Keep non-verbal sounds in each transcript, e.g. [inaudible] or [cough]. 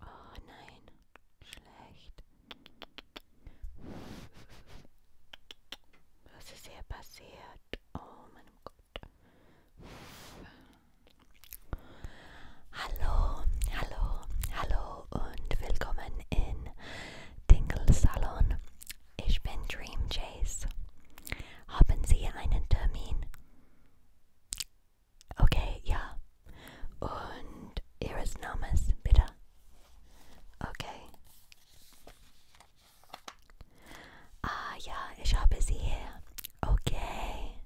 Oh nein, schlecht. Was ist hier passiert? Oh mein Gott. Hallo, hallo, hallo und willkommen in Dingle Salon. Ich bin Dream Jace. Haben Sie einen Termin? Okay, ja. Und Ihres Namens, bitte. Okay. Ah ja, ich habe Sie hier. Okay.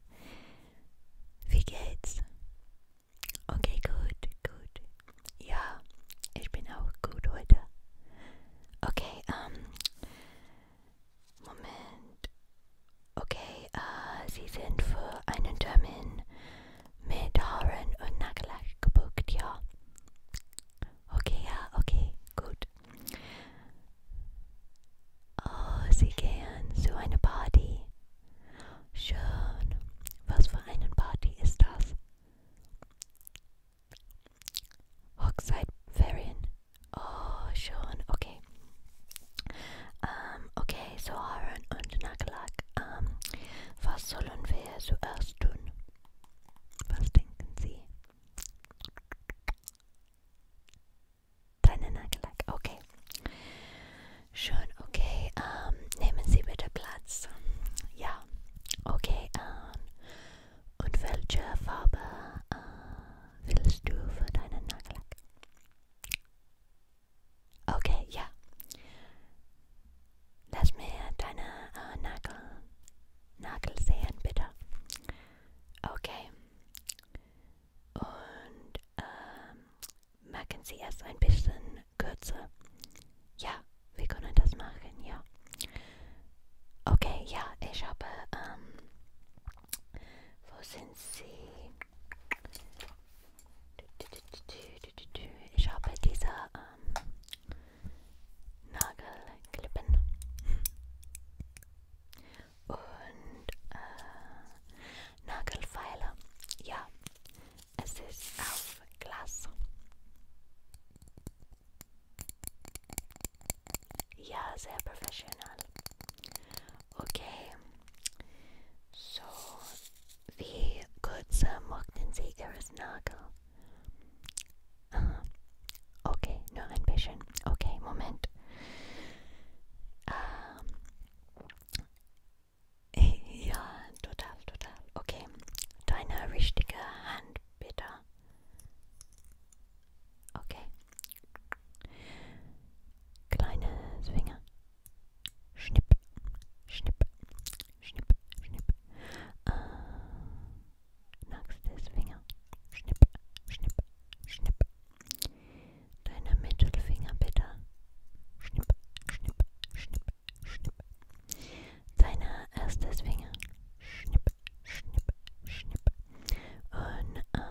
Wie geht's? Okay, gut, gut. Ja, ich bin auch gut heute. Okay, ähm, Moment. Okay, äh, Sie sind für einen Termin mit Haaren und Nagellack gebucht, ja. Okay, ja, okay, gut. Oh, Sie gehen zu einer Party. Schön. Was für eine Party ist das? Hochzeitferien. Oh, schon. Okay. Um, ähm, okay, so Haaren und Nagellack. Um, ähm, was sollen wir zuerst tun? Was denken Sie? Deine Nagellack. Okay. Schon, okay. Um, ähm, nehmen Sie bitte Platz. Ja. Okay. Um, und welche Farbe? Uh, willst du für deinen Nagellack? Okay, ja. Lass mir deine äh, Nagel, Nagel sehen, bitte. Okay. Und ähm, machen Sie es ein bisschen kürzer. Ja, wir können das machen, ja. Okay, ja, ich habe ähm, For ich habe diese ähm, um, Nagelklippen und äh, Nagelfeile. Ja, es ist auf Ja, sehr professional. Okay. So, wie kurz mochten Sie Ihres Nagel? Aha. Okay, No ein Okay, Moment. Ja, um, [laughs] total, total. Okay. Deine richtige Hand, bitte. Okay. Kleines Finger. Schnipp, schnipp, schnipp, schnipp. Uh, äh, nächstes Finger. Schnipp, schnipp, schnipp. Deine Mittelfinger bitte. Schnipp, schnipp, schnipp, schnipp. Deine erstes Finger. Schnipp, schnipp, schnipp. Und äh,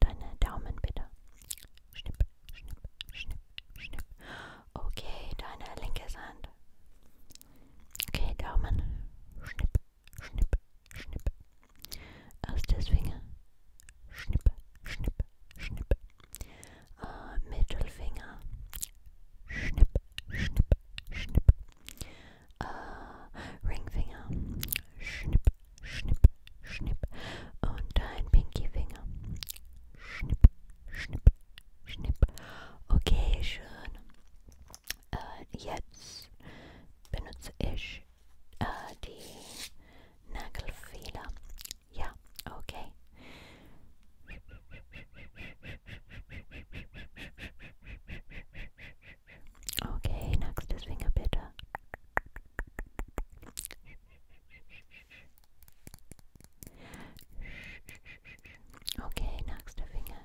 deine Daumen bitte. Schnipp, schnipp, schnipp, schnipp. Okay, deine linke Hand. Okay, Daumen. Schnipp, schnipp, schnipp. Aus der Finger. Schnipp, schnipp, schnipp. Äh, Mittelfinger. Schnipp, schnipp, schnipp äh, Ringfinger, schnipp, schnipp, schnipp und dein Pinkyfinger, schnipp, schnipp, schnipp. Okay, schön. Äh, jetzt benutze ich äh, die Nagelfehler. Ja, okay. Okay, next is Fingerbitter. Okay, next a finger.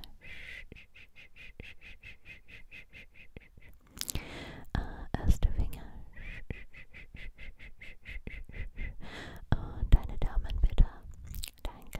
Uh, erste Finger. Und uh, deine Daumen bitte. Danke.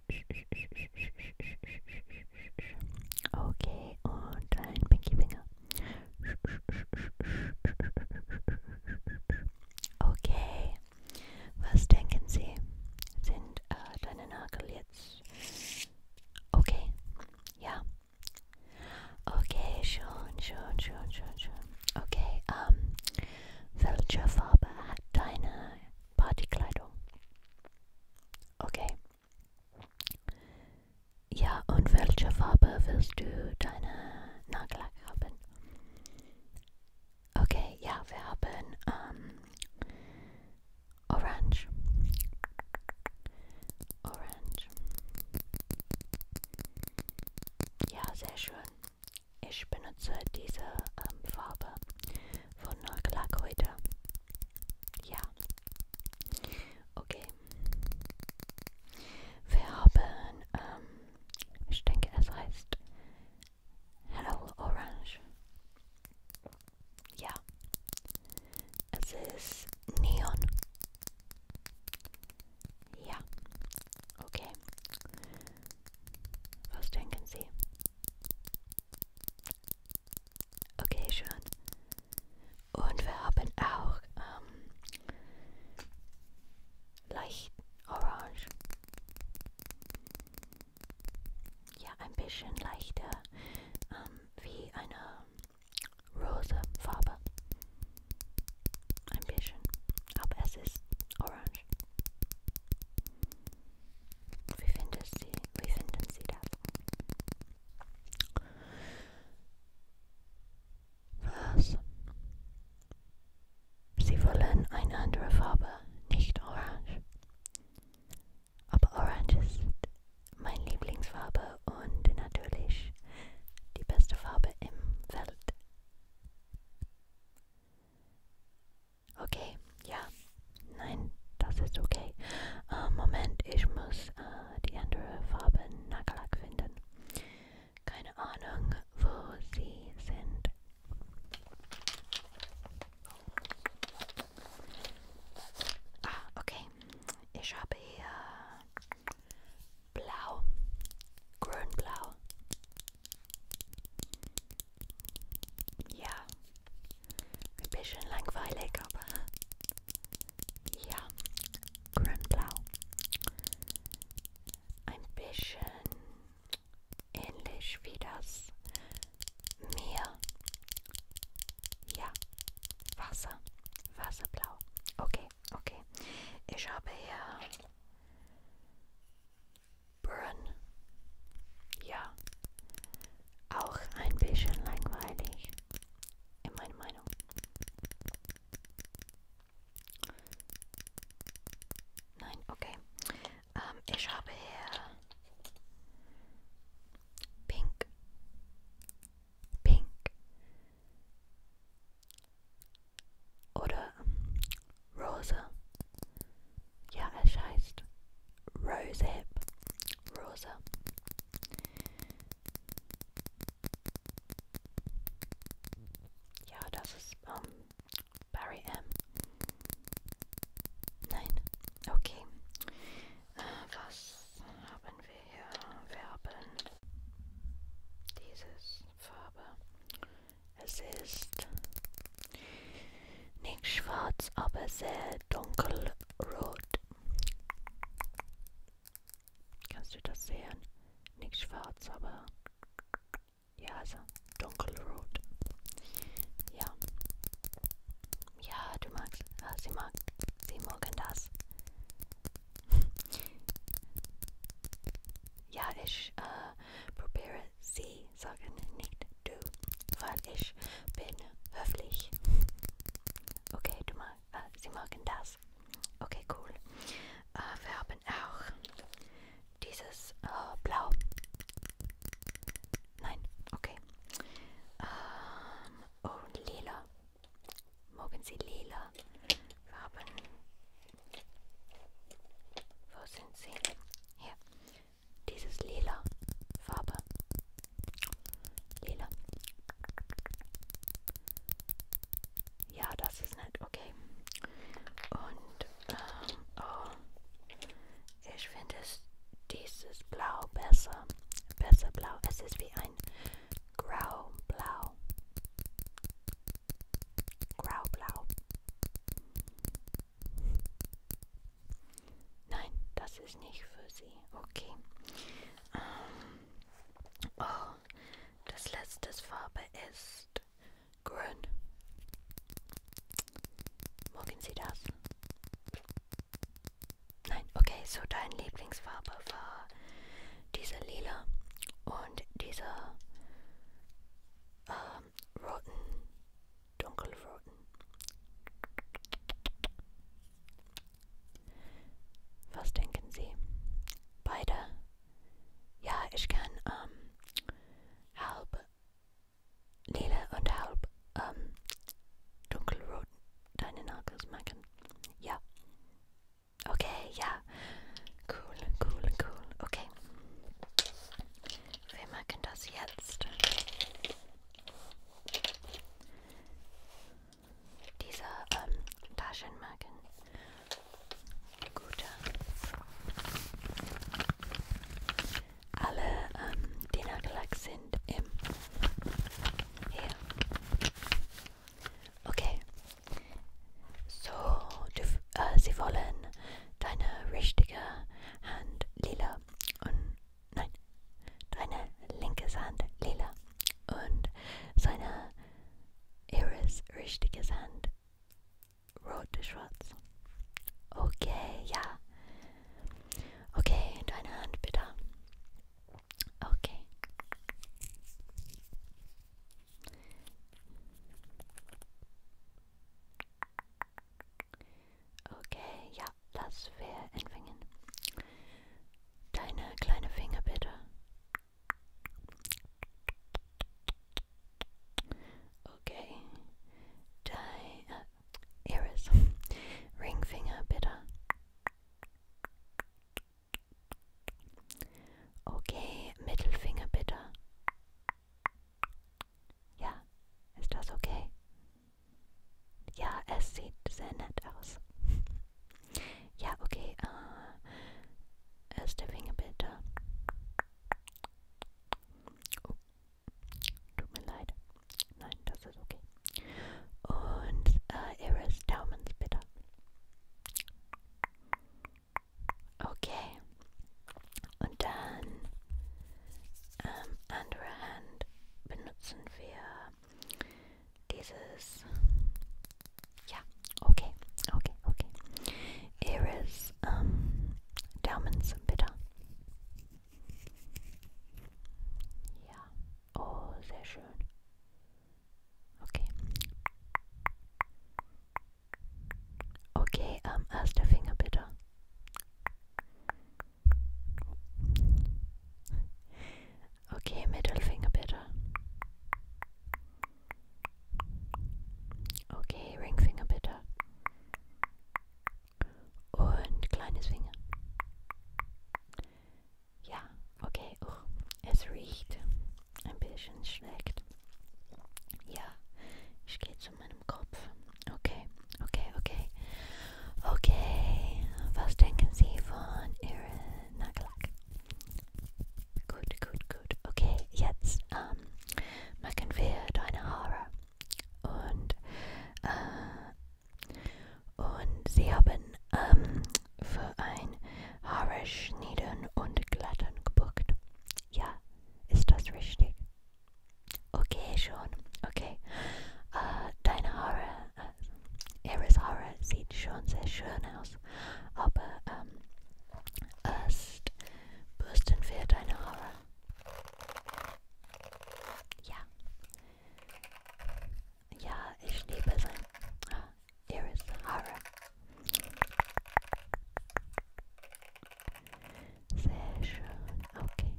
Okay, und ein Pinky-Finger. Okay, was denken Sie? Sind äh, deine Nagel jetzt okay? Ja. Okay, schon, schon, schon, schon, schon. Okay, ähm, welche Farbe hat deine Partykleidung? Okay. Ja, und welche Farbe willst du deine Nagellack haben? Okay, ja, wir haben ähm, Orange. Orange. Ja, sehr schön. Ich benutze diese ähm, Farbe von Nolklag heute. Ja. Okay. Wir haben, ähm, ich denke, es heißt Hello Orange. Ja. Es ist Neon. Ja. Okay. Was denken Sie? Okay, schön. Und wir haben auch ähm, leicht orange. Ja, ein bisschen leichter ähm, wie eine rosa Farbe. Ein bisschen. Aber es ist orange. Wie, findest Sie, wie finden Sie das? Was? Sie wollen eine andere Farbe, nicht orange. Aber orange ist meine Lieblingsfarbe und natürlich die beste Farbe im Welt. Okay, ja. Nein, das ist okay. Uh, Moment, ich muss uh, die andere Farbe Nagellack finden. Keine Ahnung, wo sie sind. Ah, okay. Ich habe hier blau, grün-blau. Ja, ein bisschen langweilig, aber ja, grün-blau. Ein bisschen ähnlich wie das Meer. Ja, Wasser, Wasserblau. Okay, okay. Ich habe hier Burn. Ja, auch ein bisschen langweilig, in meiner Meinung. Nein, okay. Ähm, ich habe hier Pink, Pink oder Rosa ja, es heißt Rose Hip. Rose. Ja, das ist ähm, Barry M. Nein, okay. Äh, was haben wir hier? Wir haben dieses Farbe. Es ist nicht schwarz, aber sehr dunkelrot. Kannst du das sehen? Nicht schwarz, aber ja, also dunkelrot. Ja. Ja, du magst, äh, sie mag, sie mögen das. [laughs] ja, ich äh, probiere sie sagen nicht du, weil ich bin höflich. Okay, du mal, äh, sie mögen das. Okay, cool. Äh, wir haben auch dieses äh, Blau. Nein, okay. Ähm, und lila. Mogen sie lila? Wir haben. Wo sind sie? Hier. Dieses lila Farbe. Lila. Ja, das ist nett. Okay. Und, ähm, oh. Ich finde dieses Blau besser. Besser blau. Es ist wie ein Grau-Blau. Grau-Blau. Nein, das ist nicht für Sie. Okay. Ähm, oh, das letzte Farbe ist grün. Mögen Sie das? Nein, okay, so dein Lieblingsfarbe war diese lila und diese ähm, roten dunkelroten. Was denken Sie? Beide? Ja, ich kann ähm, halb lila und halb ähm, dunkelrot deine Nagels machen. Ja. Okay, ja. Cool, cool, cool. Okay. Wir machen das jetzt. Diese ähm, Taschenmarken. Gute. Alle ähm, die Nagellack sind im hier. Okay. So, du, äh, sie wollen deine richtige Hand lila und nein, deine linke Hand lila und seine Iris richtige Hand rot-schwarz. Okay, ja. Okay, deine Hand bitte. Okay. Okay, ja, das wäre entwingen. Deine kleine Finger bitte. Okay. Dein äh, Iris. Ringfinger bitte. Okay, Mittelfinger bitte. Ja, ist das okay? Ja, es sieht sehr nett aus. ja, okay. Äh, erste Finger bitte. Oh, tut mir leid. Nein, das ist okay. Und äh, ihres Daumens bitte. Okay. Und dann ähm, andere Hand benutzen wir dieses, Yeah. okay, okay, okay. Iris ähm, Daumen sind bitte. Ja, oh, sehr schön. Okay. Okay, ähm, erster Finger bitte. Okay, Mittelfinger bitte. Okay, Ringfinger bitte. Und kleines Finger. Ja, okay. Oh, es riecht ein bisschen schlecht. Ja, ich gehe zu meinem Kopf. Okay. Okay, okay. Okay, was denken Sie von Ihrem Nagellack? Gut, gut, gut. Okay, jetzt ähm, machen wir deine Haare. Und, äh, und Sie haben ähm, für ein Haare schneiden und glatten gebucht. Ja, ist das richtig? Okay, schon. Okay. Äh, deine Haare äh, Eris Horror sieht schon sehr schön aus, aber ähm, erst bürsten wir deine Haare. Ja. Ja, ich liebe sein äh, Eris Haare. Sehr schön, okay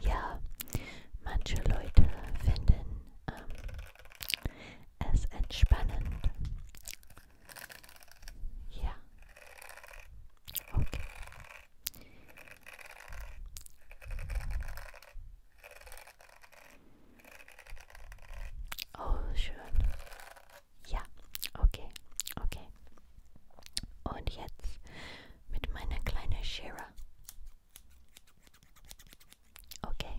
ja, manche Leute finden ähm, es entspannend. Ja. Okay. Oh, schön. Ja, okay, okay. Und jetzt mit meiner kleinen Schere. Okay,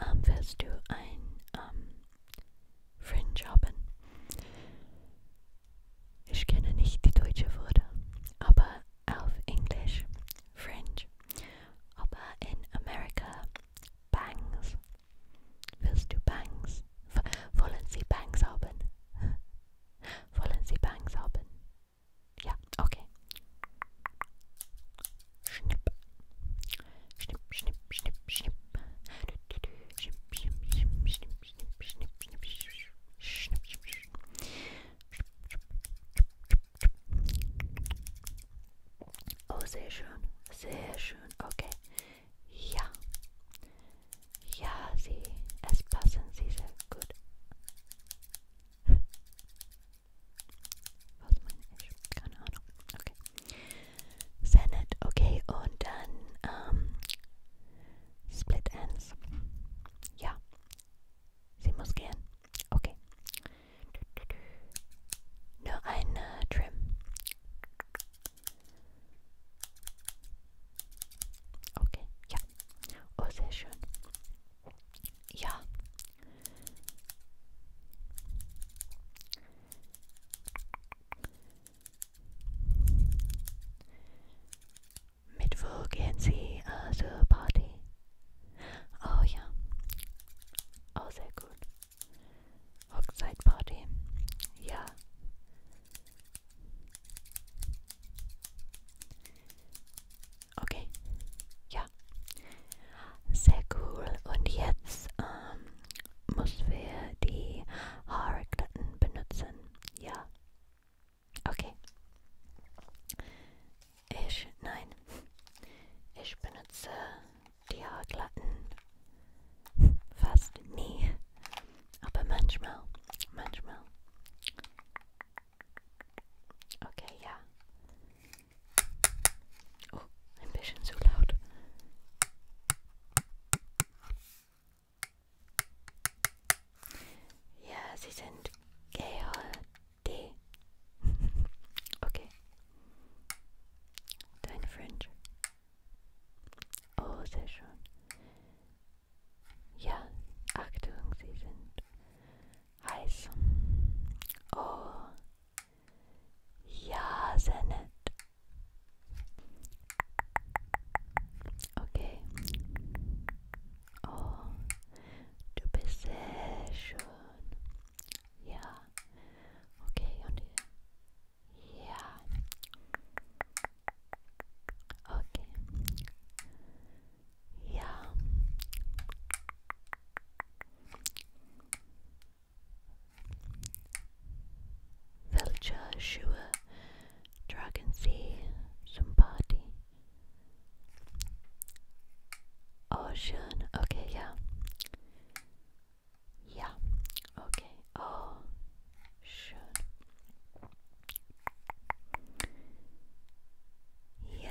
ähm, willst du ein ähm, Fringe haben? Ich kenne nicht die deutsche Wörter, aber auf Englisch Fringe. Aber in Amerika Bangs. Willst du Bangs? W wollen Sie Bangs haben? wollen Sie Bangs haben? Ja, okay. Schnipp. Schnipp, schnipp, schnipp, schnipp. Schnipp, schnipp, schnipp, schnipp, schnipp, schnipp, schnipp, schnipp, schnipp, schnipp. Oh, sehr schön. Sehr schön. Okay. Ja. Ja, sie. Es passen sie sehr gut. Was meine ich? Keine Ahnung. Okay. Senate, okay. Und dann ähm, Split Ends. Ja. Sie muss gehen. Okay. Nur ein äh, Trim. Okay, ja. Oh, sehr schön. Ja. Mittwoch gehen Sie äh, also zur Party. Oh ja. Oh, sehr gut. Hochzeitparty. Ja. Okay. Ja. Sehr cool. Und jetzt ähm, müssen wir die Haarklatten benutzen. Ja. Okay. Ich, nein. Ich benutze die Haarklatten fast nie. Aber manchmal, manchmal. Okay, yeah. Oh, ein bisschen zu laut. Ja, sie sind GHD. okay. Dein French. Oh, sehr schön. Ja, Achtung, sie heiß. Oh, ja, sehr nett. Okay. Oh, du bist sehr schön. Ja. Okay, und hier. Ja. Okay. Yeah. Villager, Shua, Dragon Sea, Zumbati. Ocean, okay, yeah. Yeah, okay. Ocean. Ja.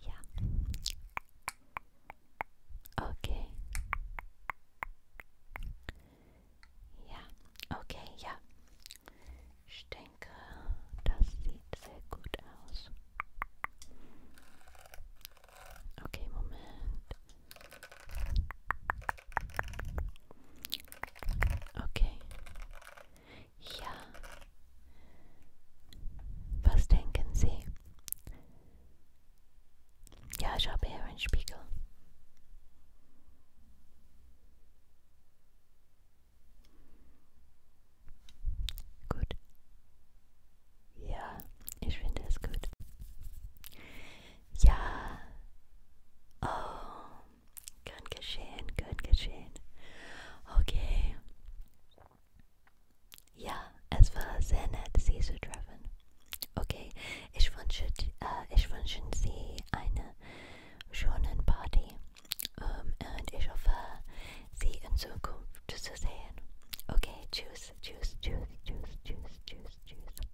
Ja. Okay. Ja, okay, ja. Ich denke, das sieht sehr gut aus. Okay, Moment. Okay. Yeah. Was denken Sie? see. Yeah, habe hier einen Spiegel. Gut. Ja, ich finde es gut. Ja. Oh, Gern geschehen, gern geschehen. Okay. Ja, es war sehr nett, Sie zu treffen. Okay, ich wünsche, äh, ich wünsche Sie eine schöne Party. Um, ähm, und ich hoffe, Sie in Zukunft zu sehen. Okay, tschüss, tschüss, tschüss, tschüss, tschüss, tschüss, tschüss.